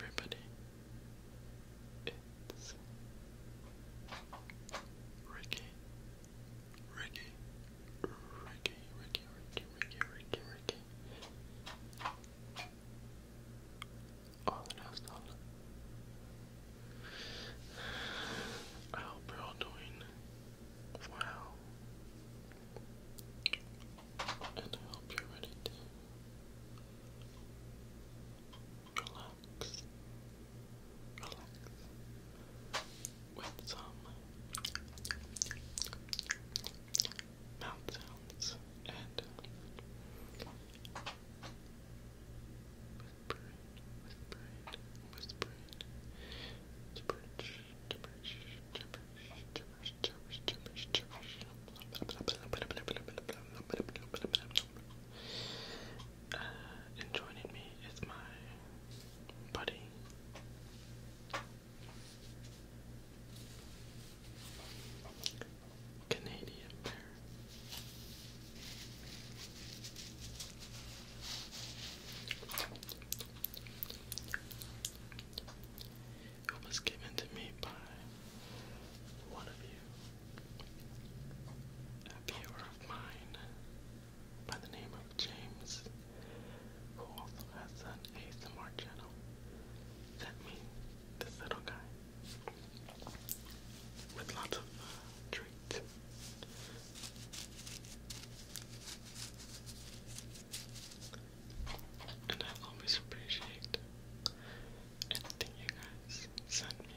Everybody, it's Ricky, Ricky, Ricky, Ricky, Ricky, Ricky, Ricky, Ricky. Oh, I hope you're all doing well. And I hope you're ready to relax. Relax. With some mouth sounds and uh, whispering, whispering, whispering, gibberish, gibberish, gibberish, gibberish, gibberish, gibberish. Uh, and joining me is my buddy. Canadian bear. was given to me by one of you, a viewer of mine by the name of James, who also has an ASMR channel. That means this little guy with lots of uh, treats. And I always appreciate anything you guys send me.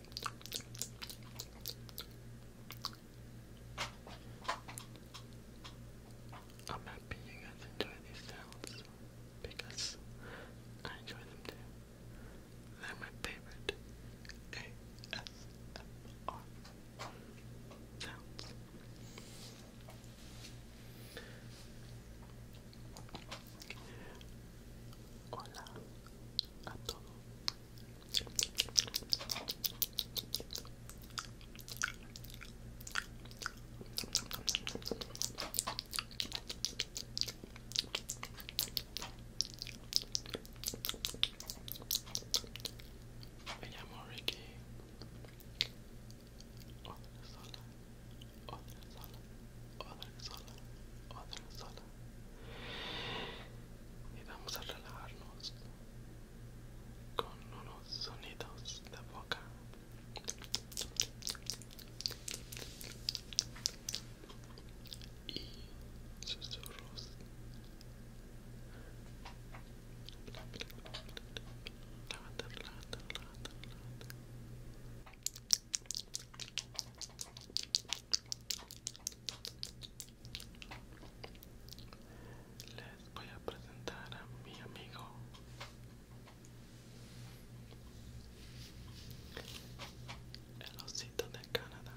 I'm happy you guys enjoy these sounds because I enjoy them too. They're my favorite ASMR sounds. Hola a todos. Me llamo Ricky otra sola, otra sola, otra sola. Y vamos a relajarnos con unos sonidos de boca. Y susurros. Les voy a presentar a mi amigo. El osito de Canadá.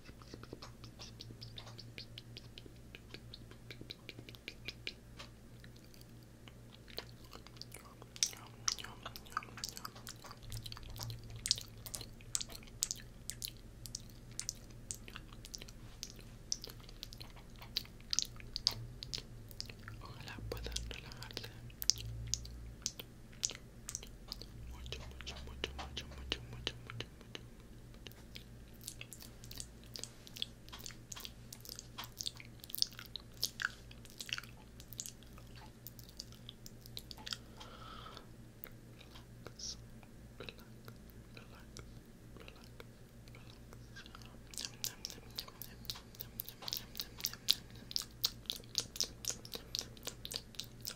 Ojalá puedan relajarse. mucho, mucho, mucho, mucho, mucho, mucho, mucho, mucho. Relax, relax, relax, relax, relax.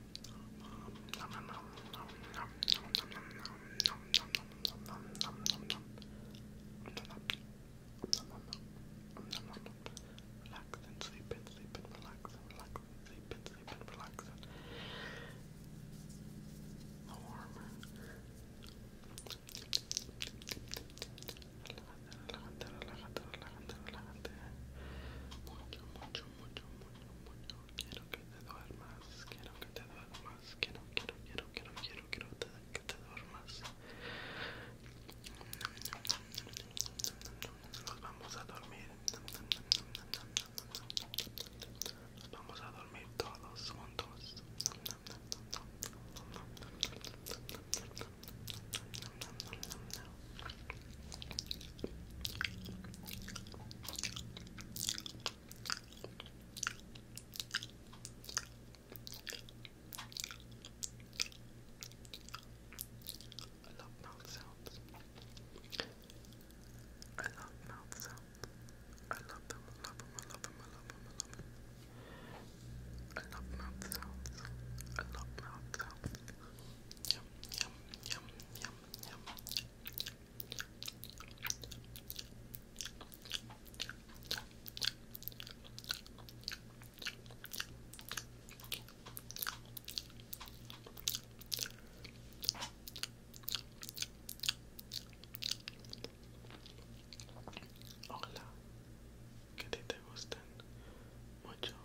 Relax and sleep and sleep and relax relax and sleep and sleep and relax warm. mucho, mucho, mucho, Quiero que te duermas, quiero que te duermas, quiero, quiero, quiero, quiero, quiero, quiero que te duermas. Nos vamos a dormir. Nos vamos a dormir todos juntos. nom, nom, I love mouth sounds. I love mouth sounds. I love them. I love them. I love them. I love them. I love mouth sounds. I love mouth sounds. Hola, que te gustan mucho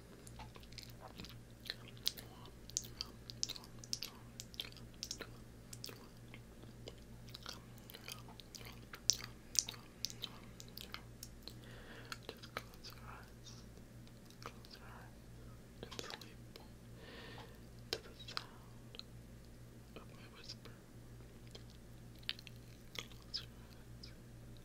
Just close your eyes. Close your eyes and sleep to the sound of my whisper. Close your eyes.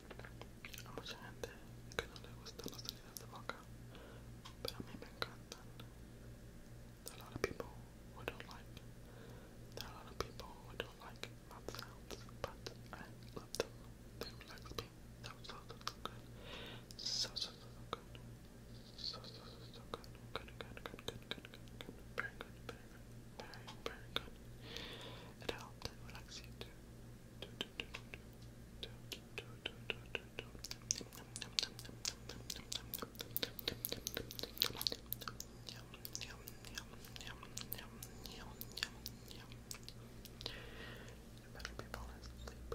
A mucha lot of people who don't like. a lot of people who don't like mouth sounds, but I love them. They relax so good. So so so good. So so so good. Good good good good good good Very good very, very good. It helped relax you too. Do, do, do, do, do, do, do, Yum, yum, yum, yum, yum, yum, yum, yum. You better be falling asleep.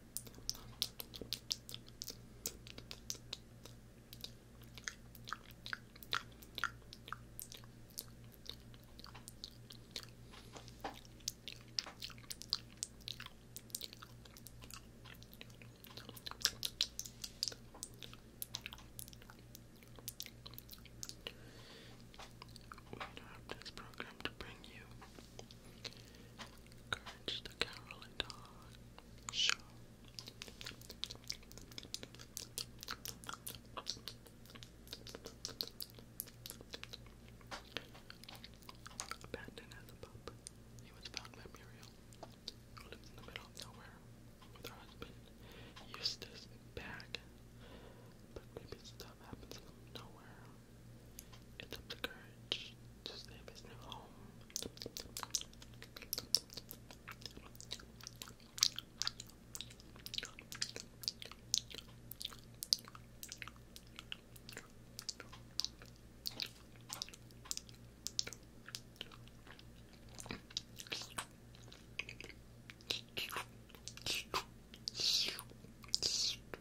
We interrupt this program to bring you Courage the Carol and Dawn Abandoned as a pup, he was found by Muriel, who lives in the middle of nowhere with her husband, Eustace Bag. But maybe stuff happens from nowhere. It's up to Courage to save his new home.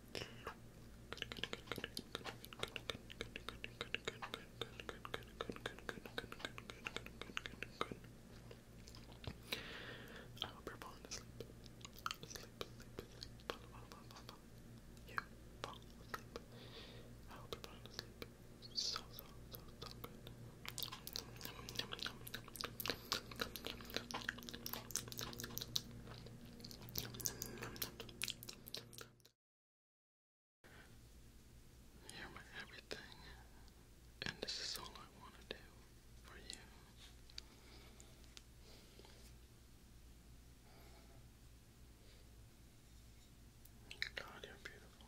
I hope you're falling asleep. Sleep, sleep, sleep. You fall asleep. I hope you're falling asleep. So, so, so, so good. You're my everything, and this is all I want to do for you. God, you're beautiful.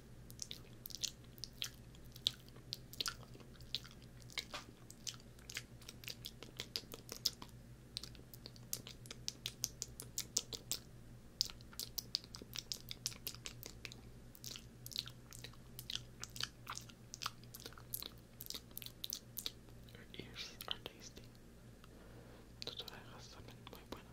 Your ears are tasty. Tus orejas también muy buenas.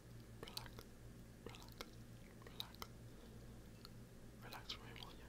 relax, relax, relax, relax for me, will ya?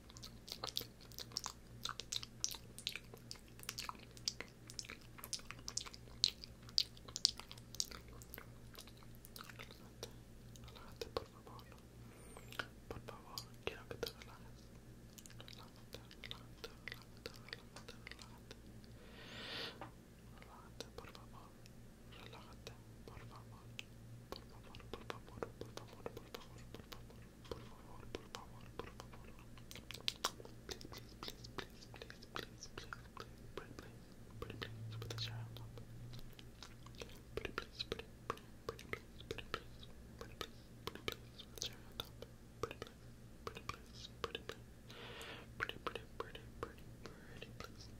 Relájate, relájate, por favor. Por favor, quiero que te relajes. Relájate, relájate, relájate, relájate, relájate. Relájate, por favor. relájate, por favor, por favor, por favor, por favor, por favor, por favor, por favor, por favor, por favor. Please, please, please, please, please, please, please, please, please, please, put the child up. Pretty please, pretty, pretty, pretty please, pretty please, pretty please, pretty please, put the child up. Pretty please, pretty please, pretty please, pretty, pretty, pretty, pretty, pretty please.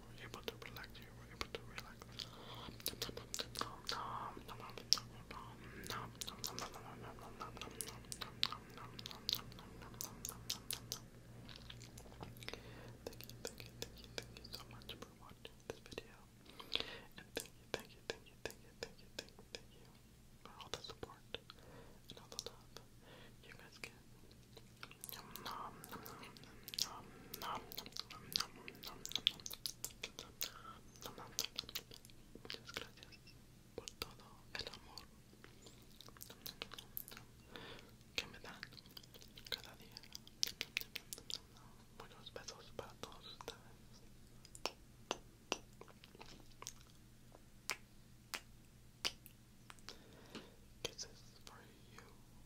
Thank you, thank you, thank you, thank you so much for watching this video. And thank you, thank you, thank you, thank you, thank you, thank you, for all the support and all the love you guys get. Muchas gracias por todo el amor que me dan cada día. Muchos besos para todos ustedes. Kisses for you.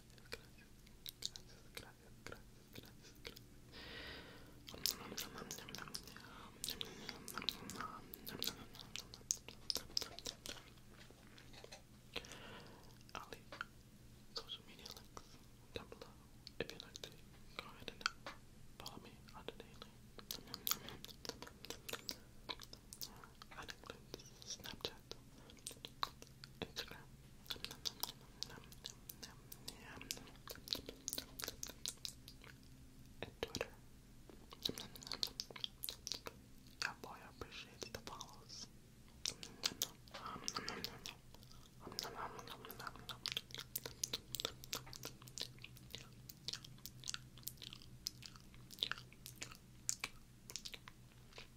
Ali, social media links down below. If you like to go ahead and follow me on the daily. That includes Snapchat, Instagram, Twitter. Yeah, boy, I appreciate the follows.